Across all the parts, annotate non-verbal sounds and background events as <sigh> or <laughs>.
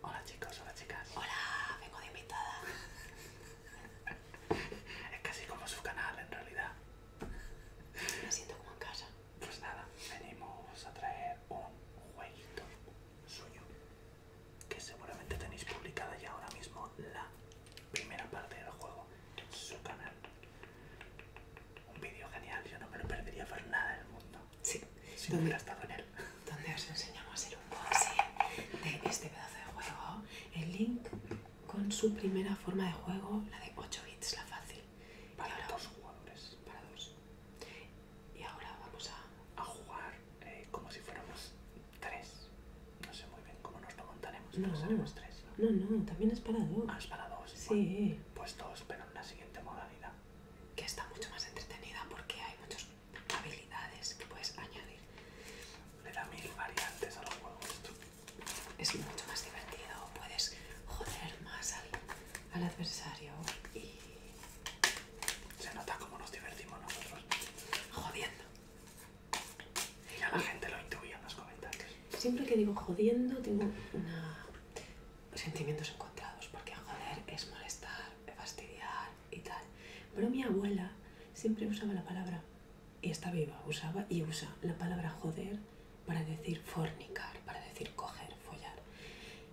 Hola chicos, hola chicas. Hola, vengo de invitada. <laughs> es casi como su canal en realidad. Me siento como en casa. Pues nada, venimos a traer un jueguito suyo que seguramente tenéis publicada ya ahora mismo la primera parte del juego su canal. Un vídeo genial, yo no me lo perdería por nada del mundo. Sí, ¿Dónde, él. Donde os enseñamos el unboxing de este pedazo de juego. El link con su primera forma de juego, la de 8 bits, la fácil. Para dos jugadores. Para dos. Y ahora vamos a, jugar eh, como si fuéramos tres. No sé muy bien cómo nos lo montaremos, no. pero tres. No, no, también es para dos. Ah, es para dos. Sí. pues dos, pero en la siguiente modalidad que está mucho más entretenida porque hay muchas habilidades que puedes añadir. Le da mil variantes a los juegos. Es mucho más divertido, puedes joder más al, adversario y... Se nota cómo nos divertimos nosotros. Jodiendo. Y la gente lo intuía en los comentarios. Siempre que digo jodiendo tengo una sentimientos encontrados, porque joder es molestar, fastidiar y tal. Pero mi abuela siempre usaba la palabra, y está viva, usaba y usa la palabra joder para decir fornicar, para decir coger, follar.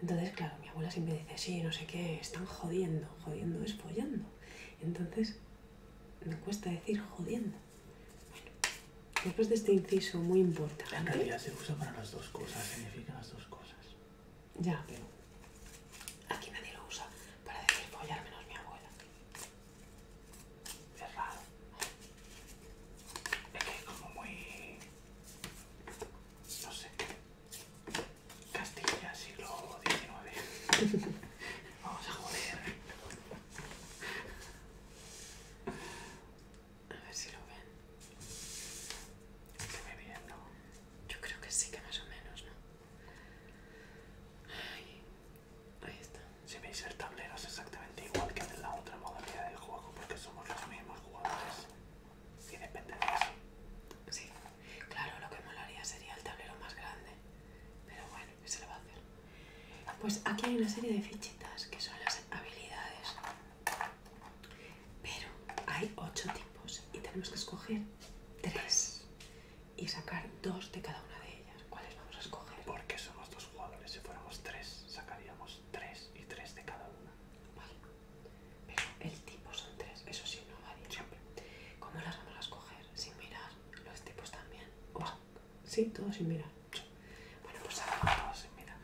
Entonces, claro, mi abuela siempre dice, sí, no sé qué, están jodiendo, jodiendo es follando. Entonces, me cuesta decir jodiendo. Después de este inciso muy importante. En realidad se usa para las dos cosas, significa las dos cosas. Ya, pero aquí nadie lo usa para decir al menos mi abuela. cerrado Es que es como muy. no sé. Castilla, siglo XIX. <laughs> Vamos a joder. A ver si lo ven. Yo creo que sí, que más o menos, ¿no? Ahí, está. Si veis el tablero es exactamente igual que en la otra modalidad del juego, porque somos los mismos jugadores. Y depende Sí, claro, lo que molaría sería el tablero más grande. Pero bueno, ¿qué se va a hacer? Pues aquí hay una serie de fichitas que son las habilidades. Pero hay 8 tipos y tenemos que escoger 3 y sacar 2 de cada una de ellas. ¿Cuáles vamos a escoger? Porque somos 2 jugadores, si fuéramos 3, sacaríamos 3 y 3 de cada una. Vale, pero el tipo son 3, eso sí no varía. ¿Cómo las vamos a escoger? Sin mirar los tipos también. Sí, todo sin mirar. Bueno, pues hacemos todo sin mirar.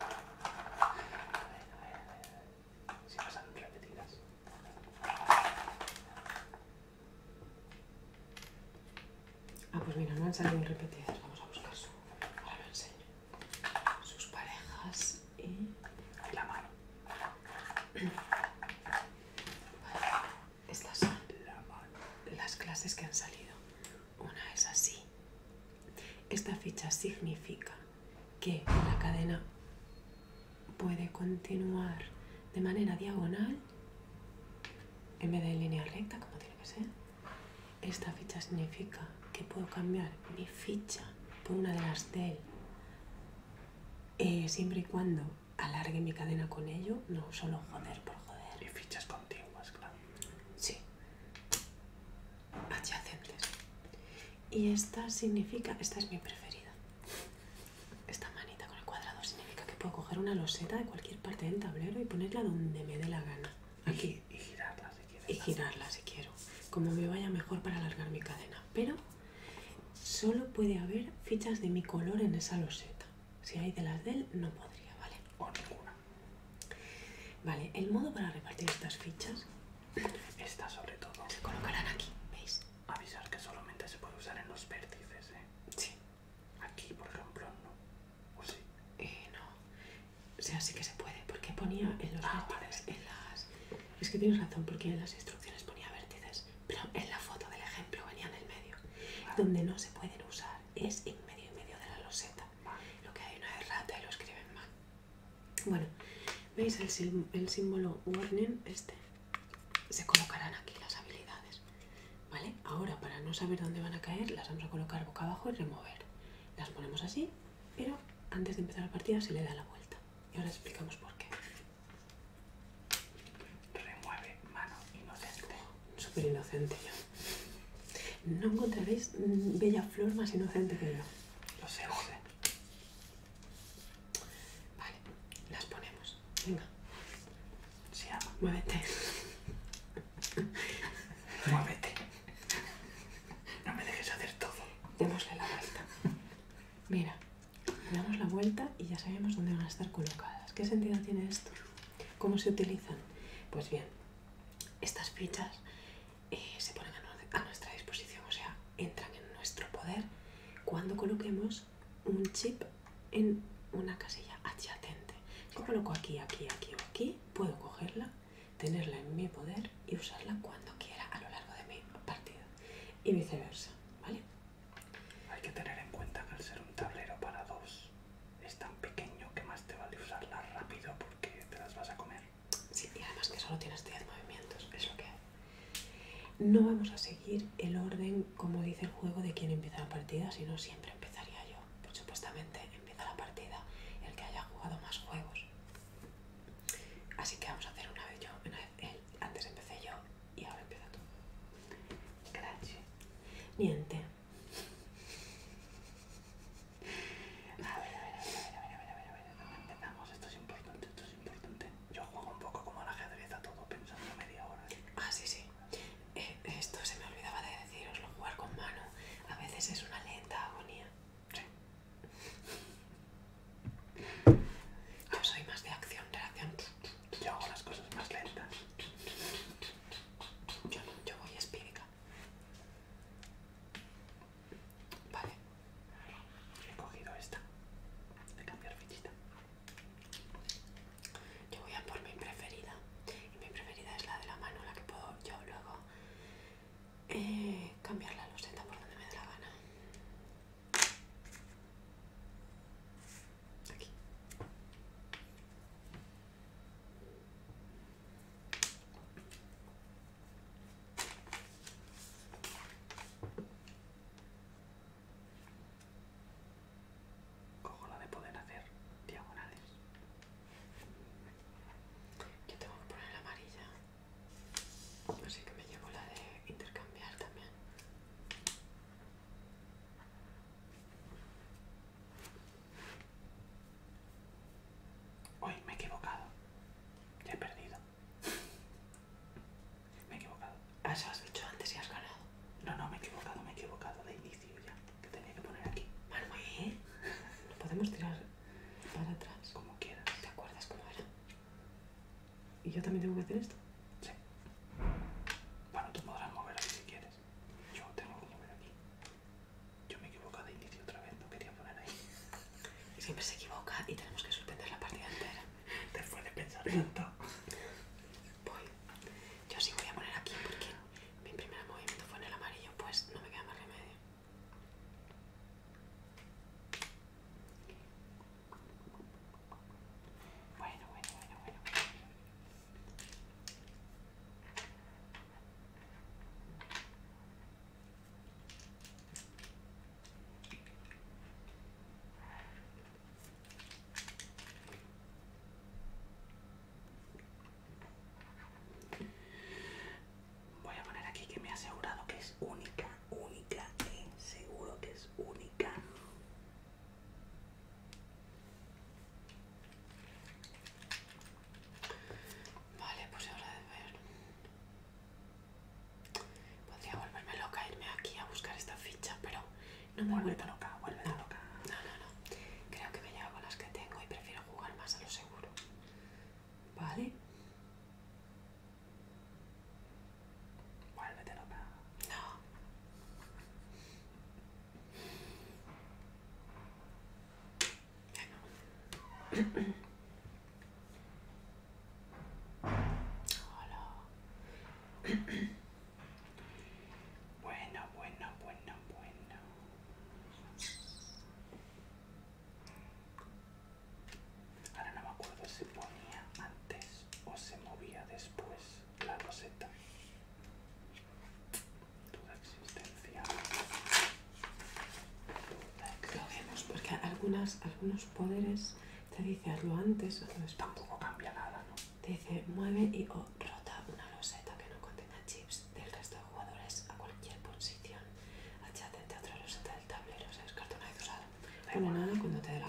A ver, a ver, a ver. Si pasan repetidas. Ah, pues mira, no han salido repetidas. Vamos a buscar su. Ahora lo enseño. Sus parejas y la mano. Estas son las clases que han salido una es así. Esta ficha significa que la cadena puede continuar de manera diagonal en vez de en línea recta, como tiene que ser. Esta ficha significa que puedo cambiar mi ficha por una de las de eh, siempre y cuando alargue mi cadena con ello, no solo joder por joder. Y fichas contiguas, claro. Sí. Adyacentes. Y esta significa, esta es mi preferida. Esta manita con el cuadrado significa que puedo coger una loseta de cualquier parte del tablero y ponerla donde me dé la gana. Aquí. Y, y girarla si quiero. Y girarla si quiero. Como me vaya mejor para alargar mi cadena. Pero solo puede haber fichas de mi color en esa loseta. Si hay de las de él, no podría, ¿vale? O ninguna. Vale, el modo para repartir estas fichas. está sobre todo. Se colocarán aquí, ¿veis? Avisar que solamente se puede usar en los vértices, ¿eh? Sí. Aquí, por ejemplo, no. ¿O sí? Eh, no. O sea, sí que se puede, porque ponía en los ah, las... Es que tienes razón, porque en las instrucciones ponía vértices, pero en la foto del ejemplo venía en el medio, donde no se pueden usar es en medio y medio de la loseta. Lo que hay una es y lo escriben mal. Bueno, ¿veis el, el símbolo warning? Este. Se colocarán aquí las habilidades. ¿Vale? Ahora, para no saber dónde van a caer, las vamos a colocar boca abajo y remover. Las ponemos así, pero antes de empezar la partida se le da la vuelta. Y ahora explicamos por qué. Remueve mano inocente. Súper inocente no encontraréis mm, bella flor más inocente que yo. Lo sé, joder. Vale, las ponemos. Venga. Ah, muévete. <laughs> Muévete. No me dejes hacer todo. Démosle la vuelta. Mira, damos la vuelta y ya sabemos dónde van a estar colocadas. ¿Qué sentido tiene esto? ¿Cómo se utilizan? Pues bien, estas fichas eh, se ponen a, nuestra disposición, o sea, entran en nuestro poder cuando coloquemos un chip en una casilla adyacente. Yo coloco aquí, aquí, aquí o aquí, puedo cogerla, tenerla en mi poder y usarla cuando quiera a lo largo de mi partido. y viceversa, ¿vale? Hay que tener en cuenta que al ser un tablero para dos es tan pequeño que más te vale usarlas rápido porque te las vas a comer. Sí, y además que solo tienes 10 movimientos, es lo que No vamos a seguir el orden como dice el juego de quién empieza la partida, sino siempre empezaría yo. Pues supuestamente empieza la partida el que haya jugado más juegos. Así que vamos a hacer una vez yo, eh, Antes empecé yo y ahora empieza da niente a ver, a ver, a ver, a ver, a ver, a ver, a ver, entendamos, esto es importante, esto es importante. Yo juego un poco como al ajedrez a todo pensando media hora. Ah, sí, sí. Eh, esto se me olvidaba de deciroslo, jugar con mano a veces es una lenta agonía. Sí. Yo soy más de acción, acción yo hago las cosas más lentas. Yo, yo voy espírita, Vale. He cogido esta. De cambiar fichita. Yo voy a por mi preferida. Y mi preferida es la de la mano, la que puedo yo luego eh, cambiar la loseta por donde me dé la gana. Aquí. Cojo la de poder hacer diagonales. Yo tengo que poner amarilla. Así que me llevo la de intercambiar también. Uy, me he equivocado. Ya he perdido. me he equivocado. Ah, has dicho antes y has ganado. No, no, me he equivocado, me he equivocado de inicio ya. Que tenía que poner aquí. Manuel, <laughs> podemos tirar para atrás. Como quieras. ¿Te acuerdas cómo era? ¿Y yo también tengo que hacer esto? Sí. Bueno, tú podrás mover aquí si quieres. Yo tengo que mover aquí. Yo me he equivocado de inicio otra vez, no quería poner ahí. <laughs> Siempre se equivoca y tenemos que sorprender la partida entera. Después de pensar tanto. Voy. Yo sí voy a poner aquí porque mi primer movimiento fue en el amarillo, pues no me queda más remedio. Voy a poner aquí que me he asegurado que es única, única, eh, seguro que es única. Vale, pues ahora de ver. Podría volverme loca irme aquí a buscar esta ficha, pero no me vuelve loca, vuelve no, loca. No, no, no. Creo que me llevo las que tengo y prefiero jugar más a lo seguro. Vale la No. Bueno. Hola. Bueno, bueno, bueno, bueno. Ahora no me acuerdo si ponía antes o se movía después la roseta. Duda existencial. vemos, porque algunas, algunos poderes te dicen hazlo antes, no es Tampoco cambia nada, ¿no? Te dice mueve y o rota una roseta que no contenga chips del resto de jugadores a cualquier posición. Adyacente otra roseta del tablero, se descarta una vez usada. nada cuando te dé la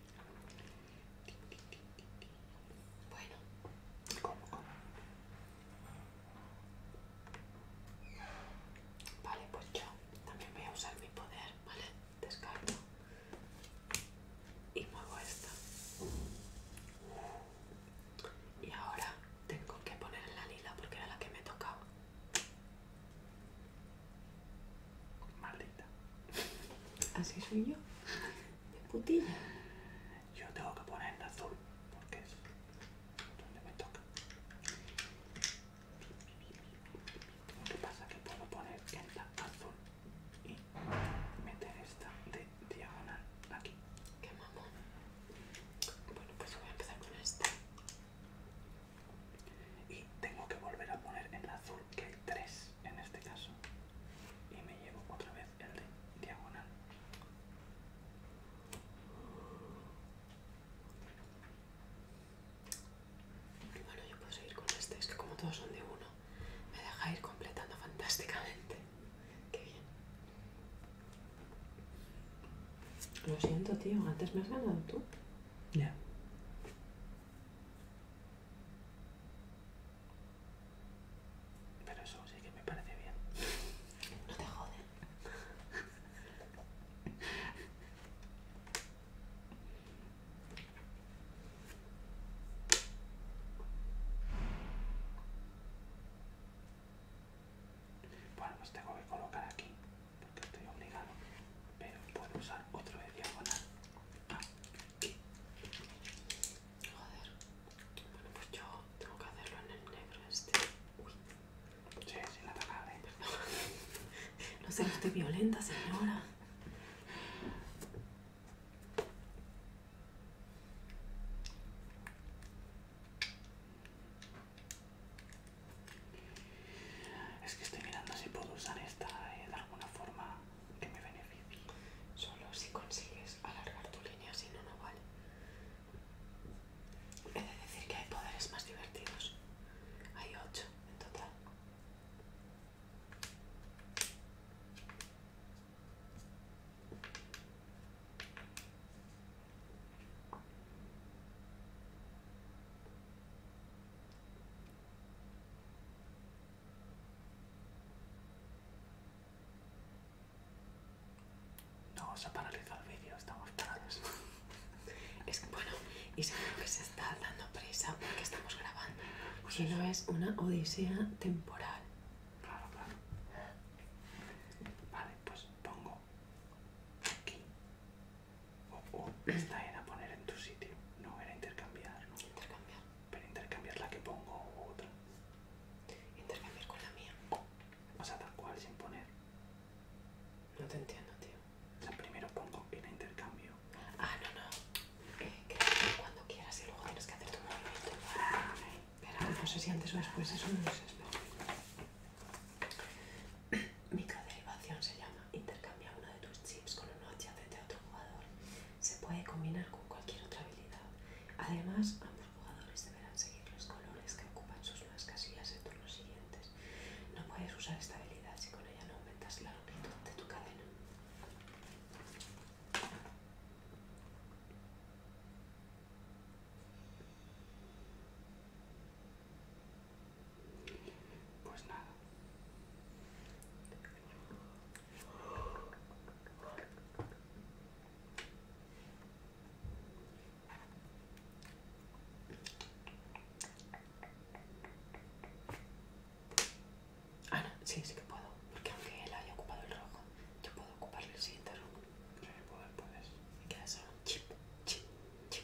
Bueno, como Vale, pues yo también voy a usar mi poder, ¿vale? Descargo y muevo esta. Y ahora tengo que poner la lila porque era la que me tocaba. Maldita. Así soy yo. De putilla. Yo tengo que poner en azul porque es donde me toca. Lo que pasa que puedo poner en azul y meter esta de diagonal aquí. Qué mamón. Bueno, pues voy a empezar con esta. Y tengo que volver a poner en azul que hay tres en este caso y me llevo otra vez el de diagonal bueno yo puedo seguir con este es que como todos son de uno me deja ir completando fantásticamente <laughs> qué bien lo siento tío antes me has ganado tú ya pero eso sí que me parece bien. No te joden. Bueno, los tengo que colocar aquí porque estoy obligado, pero puedo usar otro de diagonal Joder. Bueno, pues yo tengo que hacerlo en el negro este. Uy. Sí, sí, la palabra. ¿eh? <laughs> no sé, estoy violenta, señora. Es que estoy mirando si puedo usar esta eh, de alguna forma que me beneficie. Solo si consigues alargar tu línea, si no, no vale. He de decir que hay poderes más divertidos. Hay ocho en total. No, se ha paralizado el vídeo, estamos parados. <laughs> es que, bueno, y seguro que se está dando prisa porque estamos grabando. Pues y no es una odisea temporal. Claro, claro. Vale, pues pongo aquí o, esta era poner en tu sitio. No, era intercambiar, Intercambiar. Pero intercambiar la que pongo u otra. Intercambiar con la mía. O sea, tal cual, sin poner. No te entiendo, tío. O primero pongo y en intercambio. Ah, no, no. Eh, que cuando quieras y luego tienes que hacer tu movimiento. Espera, no sé si antes o después, eso no lo sé. Mi Microderivación se llama. Intercambia uno de tus chips con uno adyacente de otro jugador. Se puede combinar con cualquier otra habilidad. Además, ambos jugadores deberán seguir los colores que ocupan sus nuevas casillas en turnos siguientes. No puedes usar esta habilidad si con ella no aumentas la longitud de tu cadena. Pues nada. Ah, no, sí, sí que puedo. Porque aunque él haya ocupado el rojo, yo puedo ocuparle el siguiente rojo. Sí, puedes, puedes. Me queda solo chip, chip, chip.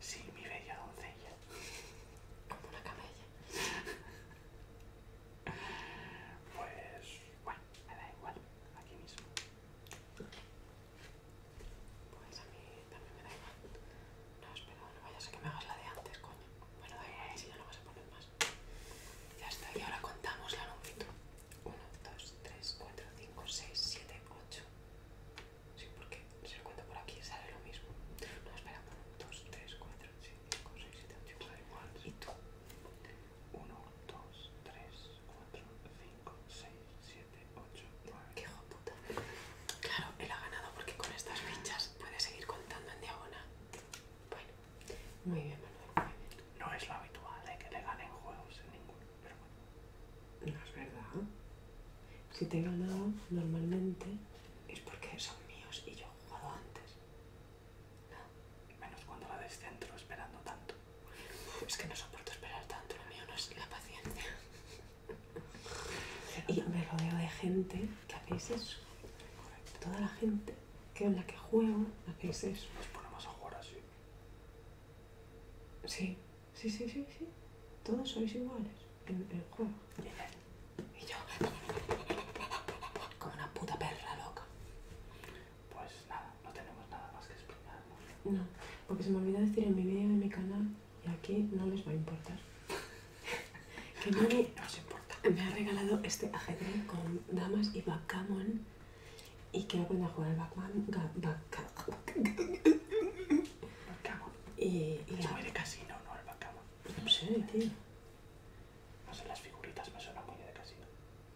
Sí, mi bella doncella. Como una camella. Pues, bueno, me da igual, aquí mismo. Pues a mí también me da igual. No, espera, no vayas a que me hagas la de antes, coño. Bueno, eh. si ya no vas a poner más. Ya está, y ahora contamos la longitud. 1, 2, 3, 4, 5, 6, 7, 8. Sí, porque si lo cuento por aquí sale lo mismo. No, espera, 1, 2, 3, 4, 5, 6, 7, 8, igual. igual. ¿Y tú? 1, 2, 3, 4, 5, 6, 7, 8, 9. ¡Qué hijo Claro, él ha ganado porque con estas fichas puede seguir contando en diagonal. Bueno. Muy bien, No es lo habitual de ¿eh? que le ganen juegos en ninguno, pero bueno. No es verdad. Si te he normalmente es porque son míos y yo he jugado antes. Menos cuando la descentro esperando tanto. Es que no soporto esperar tanto, lo mío no es la paciencia. <laughs> y me rodeo de gente que hacéis eso. Toda la gente que en la que juego, hacéis eso. Nos ponemos a jugar así. Sí, sí, sí, sí, sí. Todos sois iguales en el juego. Y yo, como una puta perra loca. Pues nada, no tenemos nada más que explicar. No, porque se me olvidó decir en mi vídeo, en mi canal, y aquí no les va a importar. <laughs> que no importa. me ha regalado este ajedrez con damas y backgammon y quiero aprender a jugar backgammon. Y, de casino, ¿no? No sé, No las figuritas de casino.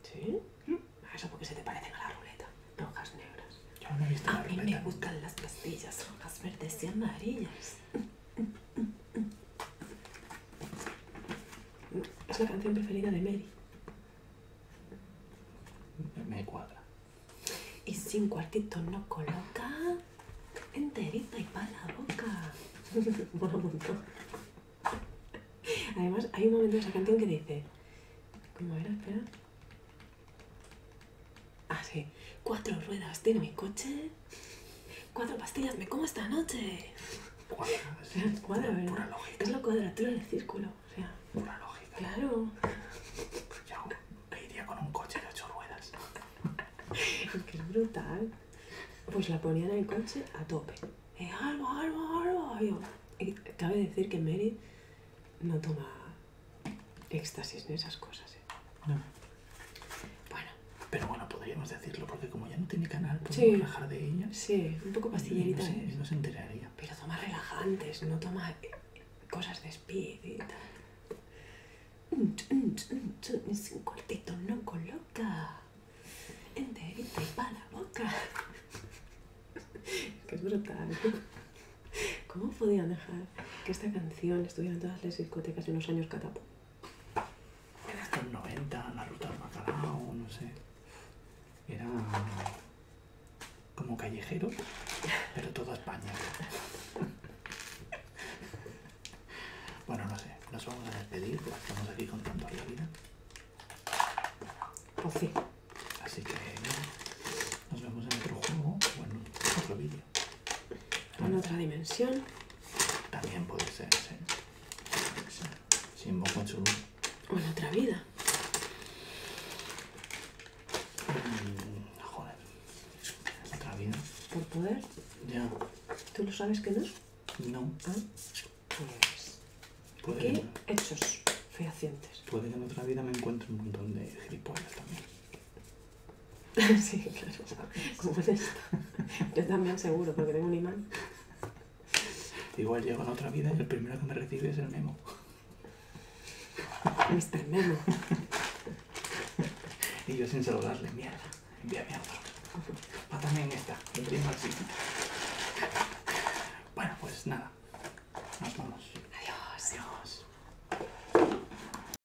¿Sí? Mm. Eso porque se te parecen a la ruleta, rojas, negras. Yo no he visto a mí me gustan las pastillas rojas, verdes y amarillas. <laughs> Es la canción preferida de Mary. Me cuadra. Y sin cuartito no coloca enterita y para la boca. Bueno, <laughs> un Además, hay un momento de esa canción que dice. ¿Cómo era? Espera. Ah, sí. Cuatro ruedas tiene mi coche. Cuatro pastillas, me como esta noche. cuatro ¿eh? pura, lógica. Es la cuadratura del círculo. O pura lógica. Claro. Pues yo iría con un coche de ocho ruedas. Es brutal. Pues la ponían en el coche a tope. Eh, algo, algo, algo. cabe decir que Mary no toma éxtasis en esas cosas. ¿eh? Bueno, pero bueno, podríamos decirlo, porque como ya no tiene canal, podemos sí. de ella. Sí, un poco pastillerita. enteraría. Pero toma relajantes, no toma eh, cosas de speed y tal. Es un cortito no coloca. Enterita y para la boca. Es <laughs> que es brutal. ¿Cómo podían dejar que esta canción estuviera en todas las discotecas en unos años catapulta? en los 90, la ruta del bacalao, no sé. Era como callejero, pero toda España. Bueno, no sé, nos vamos a despedir estamos aquí contando tanto la vida. Pues Así que nos vemos en otro juego, en otro vídeo en otra dimensión. También puede ser, sí. Sin boca O en otra vida. Mm, joder. ¿Otra vida? ¿Por poder? Ya. ¿Tú lo sabes que no? No. Ah, pues. ¿Por Aquí, hechos fehacientes. Puede que en otra vida me encuentre un montón de gilipollas también. Sí, claro. ¿Cómo es esto? Yo también seguro, porque tengo un imán. Igual llego a otra vida y el primero que me recibe es el memo. Mr. Memo. y yo sin saludarle, mierda. Envíame otro. Va también esta. El primo así. Bueno, pues nada. Nos vamos. Adiós. Adiós.